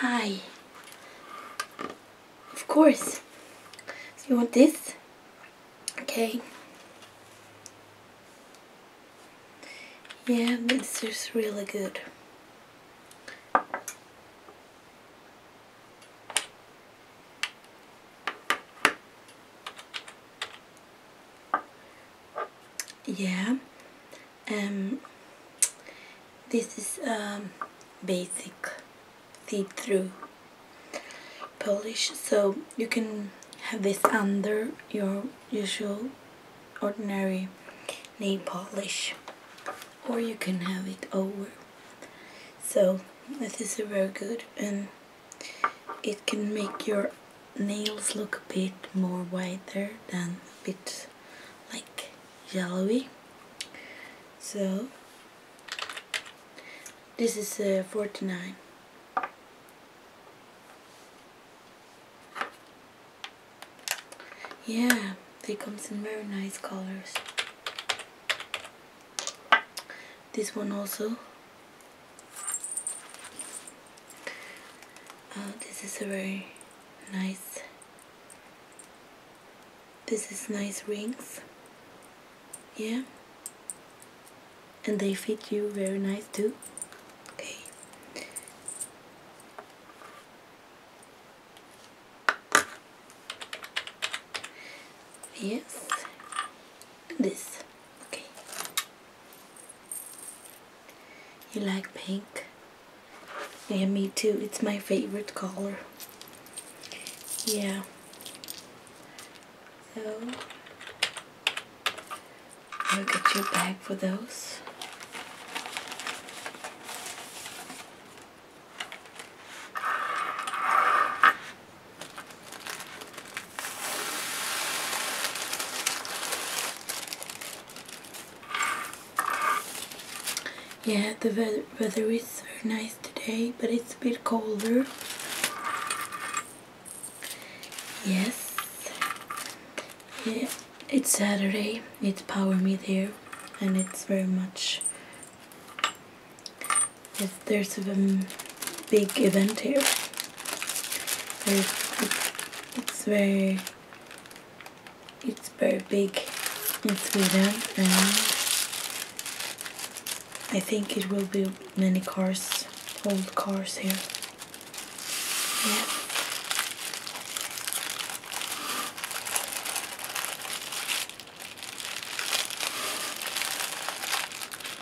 Hi. Of course. you want this? Okay. Yeah, this is really good yeah um this is um basic see-through polish so you can have this under your usual ordinary nail polish or you can have it over so this is very good and um, it can make your nails look a bit more whiter than a bit like yellowy so this is uh, 49 yeah they comes in very nice colors this one also oh, this is a very nice this is nice rings yeah and they fit you very nice too okay yes this okay you like pink? Yeah, me too. It's my favorite color. Yeah. So, I'll get you a bag for those. Yeah, the weather, weather is very nice today, but it's a bit colder. Yes. Yeah, it's Saturday. It's Power meet here, and it's very much. there's a um, big event here it's very it's very big in Sweden and I think it will be many cars old cars here yeah.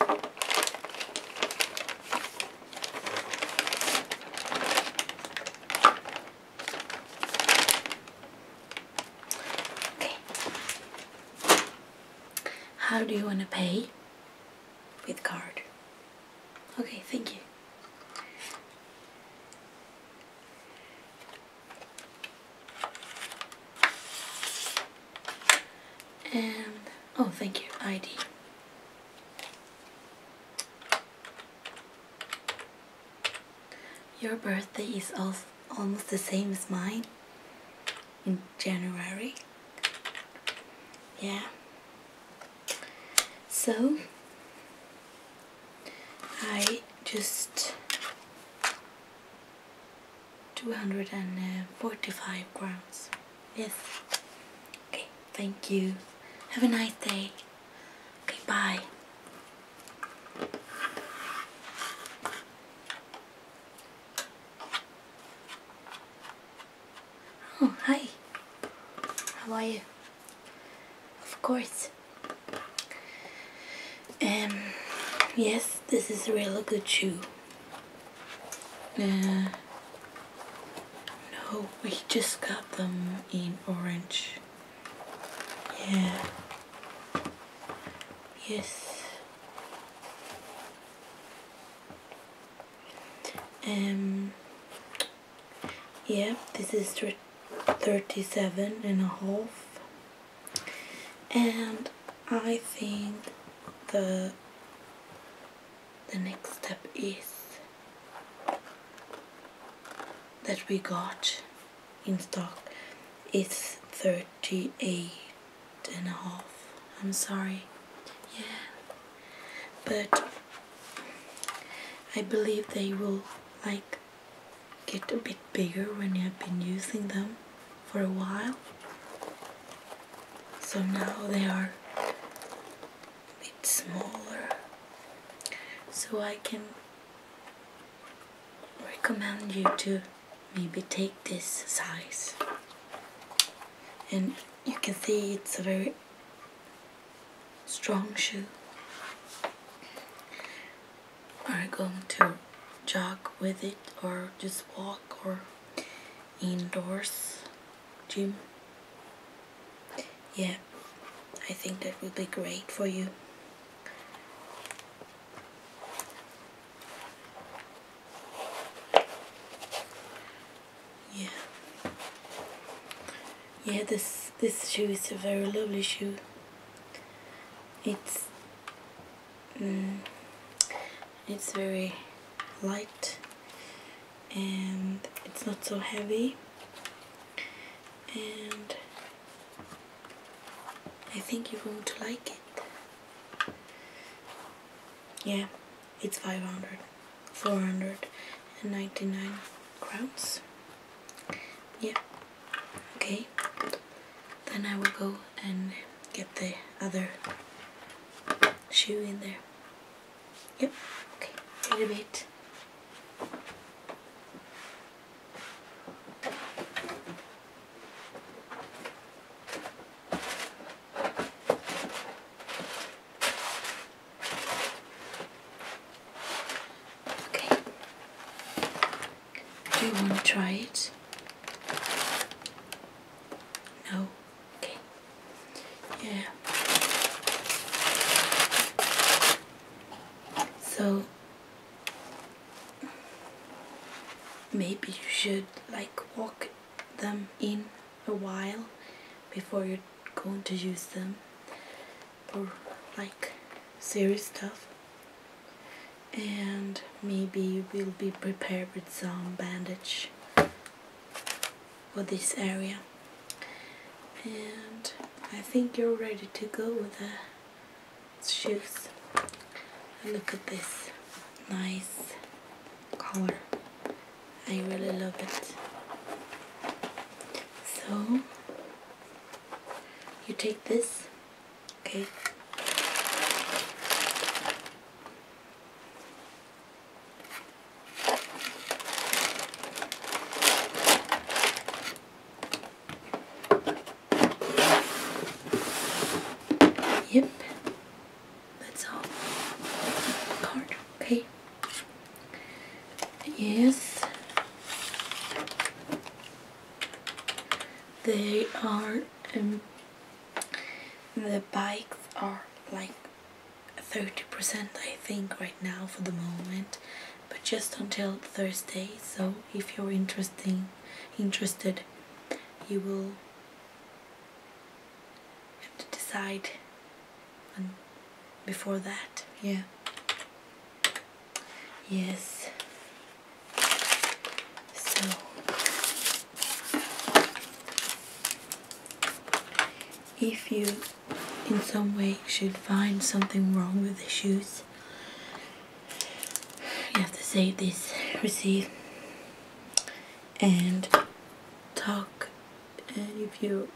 Okay. How do you want to pay? With card. Okay, thank you. And, oh, thank you, ID. Your birthday is also almost the same as mine in January. Yeah. So, I just 245 grams yes okay thank you have a nice day okay bye oh hi how are you of course um yes this is a really good shoe Nah. No, we just got them in orange. Yeah. Yes. Um. Yeah, this is 37 and a half. And I think the the next step is that we got in stock is 38 and a half. I'm sorry. Yeah. But I believe they will like get a bit bigger when you have been using them for a while so now they are bit smaller so I can recommend you to maybe take this size and you can see it's a very strong shoe are going to jog with it or just walk or indoors gym yeah I think that will be great for you yeah yeah this this shoe is a very lovely shoe it's Mm. it's very light and it's not so heavy and I think you're going to like it yeah it's 500 499 crowns yeah okay then I will go and get the other shoe in there. Yep, okay, Wait a bit. Okay. Do you want to try it? No? Okay. Yeah. So maybe you should like walk them in a while before you're going to use them or like serious stuff and maybe we'll be prepared with some bandage for this area and I think you're ready to go with the shoes look at this nice color I really love it so you take this Okay. Yep. That's all. Card. Okay. Yes. They are and um, the bikes are like 30% I think right now for the moment but just until Thursday so if you're interesting interested you will have to decide and before that yeah yes so if you in some way should find something wrong with the shoes, you have to save this receipt and talk and if you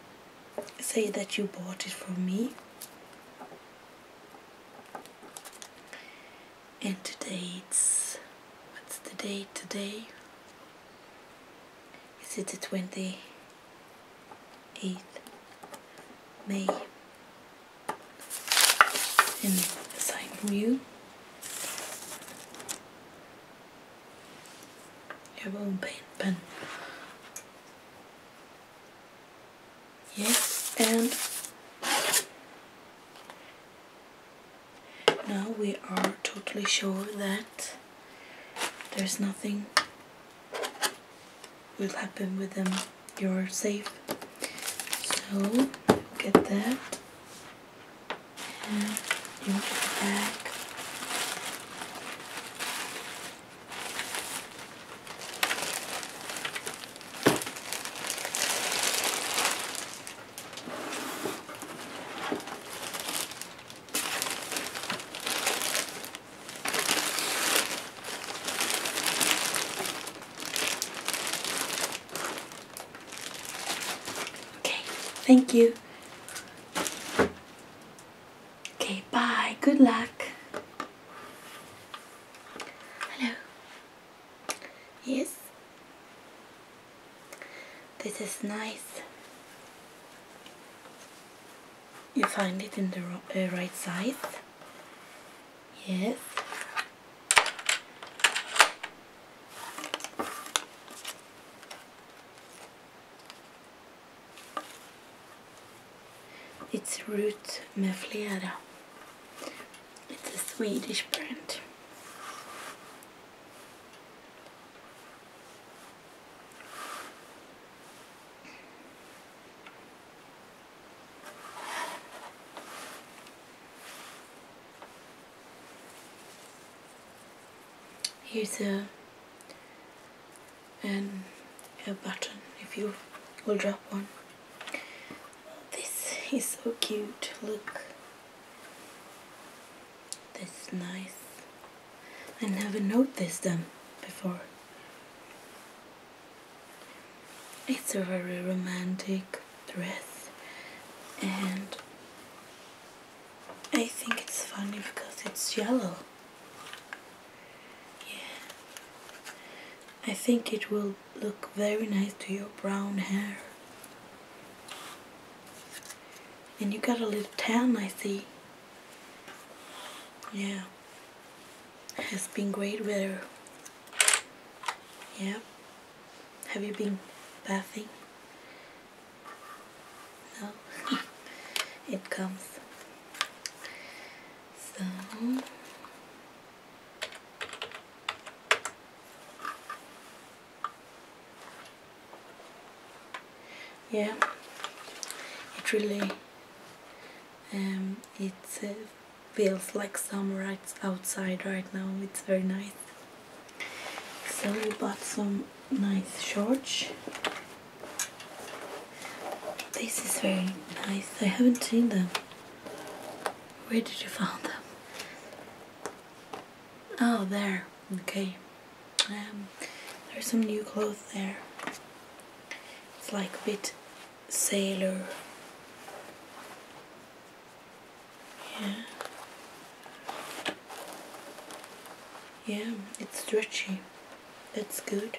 say that you bought it from me and today it's what's the date today is it the 28th May and sign from you your own pen pen yes and now we are totally sure that there's nothing will happen with them you're safe so get that and you want back Okay, thank you. Okay, bye. Good luck. Hello. Yes. This is nice. You find it in the uh, right side. Yes. It's root med it's a Swedish brand. Here's a and a button if you will drop one. This is so cute, look. That's nice. I never noticed them before. It's a very romantic dress and I think it's funny because it's yellow. Yeah. I think it will look very nice to your brown hair. And you got a little tan, I see. Yeah. It's been great weather. Yeah. Have you been bathing? No. it comes. So, yeah it really um, it uh, feels like summer right outside right now it's very nice so we bought some nice shorts this is very nice I haven't seen them where did you find them? Oh, there. Okay. Um, there's some new clothes there. It's like a bit sailor. Yeah. Yeah, it's stretchy. That's good.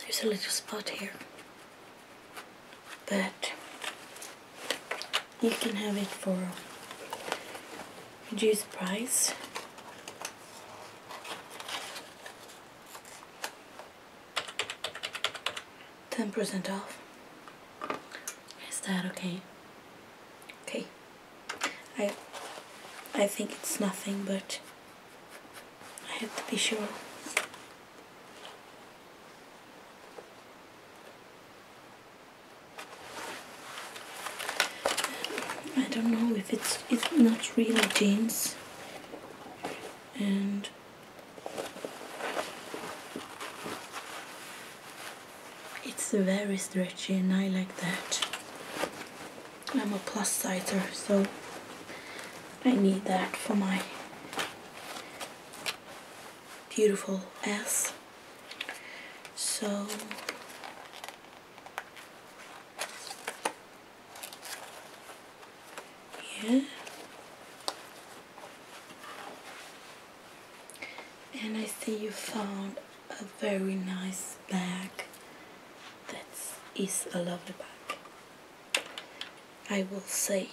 There's a little spot here, but you can have it for reduced price. 10% off. Is that okay? Okay. I I think it's nothing, but I have to be sure. I don't know if it's it's not really jeans and it's very stretchy and I like that I'm a plus sizer so I need that for my beautiful ass so yeah. And I see you found a very nice bag. That is a lovely bag. I will say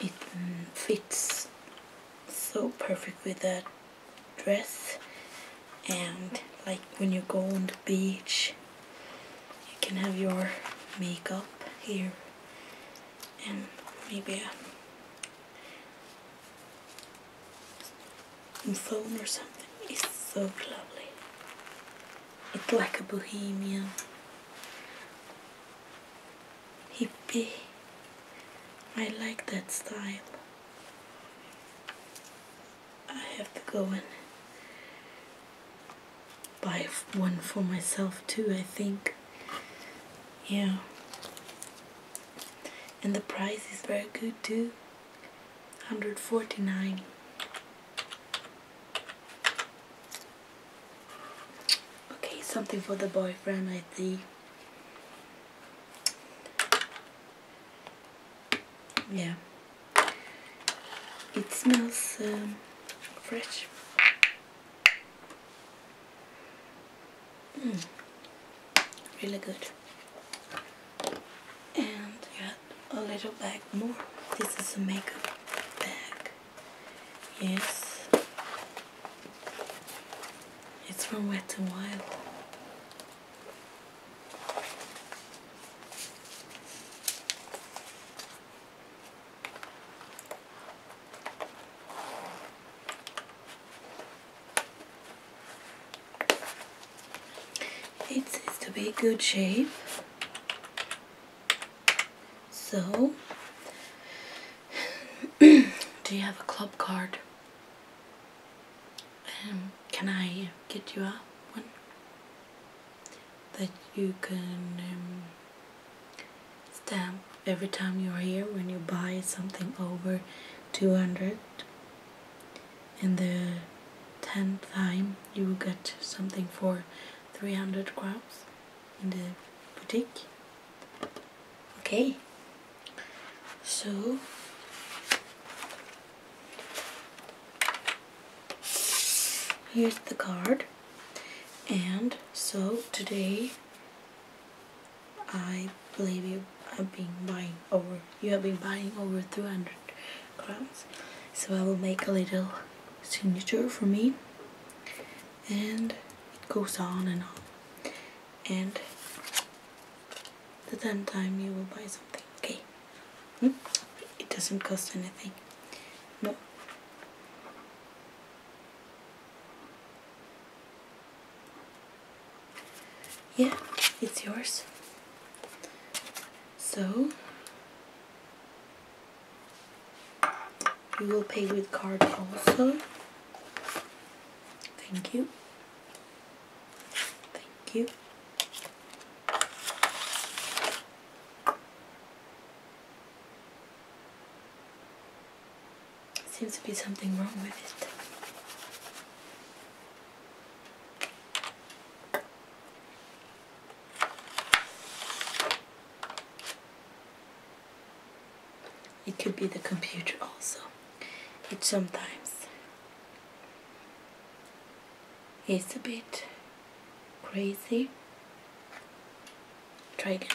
it fits so perfectly that dress and like when you go on the beach you can have your makeup here and maybe a phone or something it's so lovely it's like a bohemian hippie I like that style I have to go and buy one for myself too, I think. Yeah. And the price is very good too. 149. Okay, something for the boyfriend, I think yeah it smells um, fresh mm. really good and you a little back more this is a makeup bag yes it's from Wet and Wild it seems to be good shape. So, do you have a club card? Um, can I get you a one that you can um, stamp every time you're here when you buy something over 200 and the 10th time you will get something for 300 crowns in the boutique okay so here's the card and so today I believe you have been buying over you have been buying over 300 crowns so I will make a little signature for me and it goes on and on and the tenth time you will buy something okay hmm? it doesn't cost anything no yeah it's yours so you will pay with card also thank you Thank you. Seems to be something wrong with it. It could be the computer also. It sometimes is a bit crazy. Try again.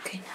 Okay now.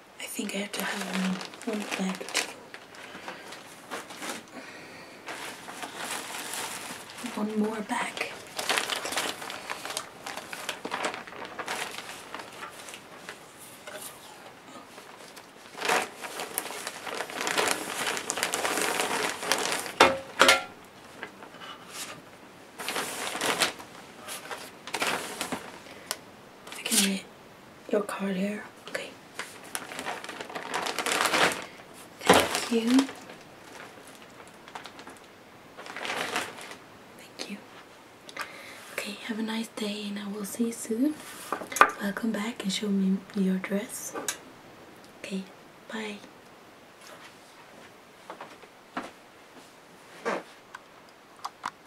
I think I have to have one, one two, One more back. I your card here. Okay. Thank you. Thank you. Okay, have a nice day and I will see you soon. Welcome back and show me your dress. Okay, bye.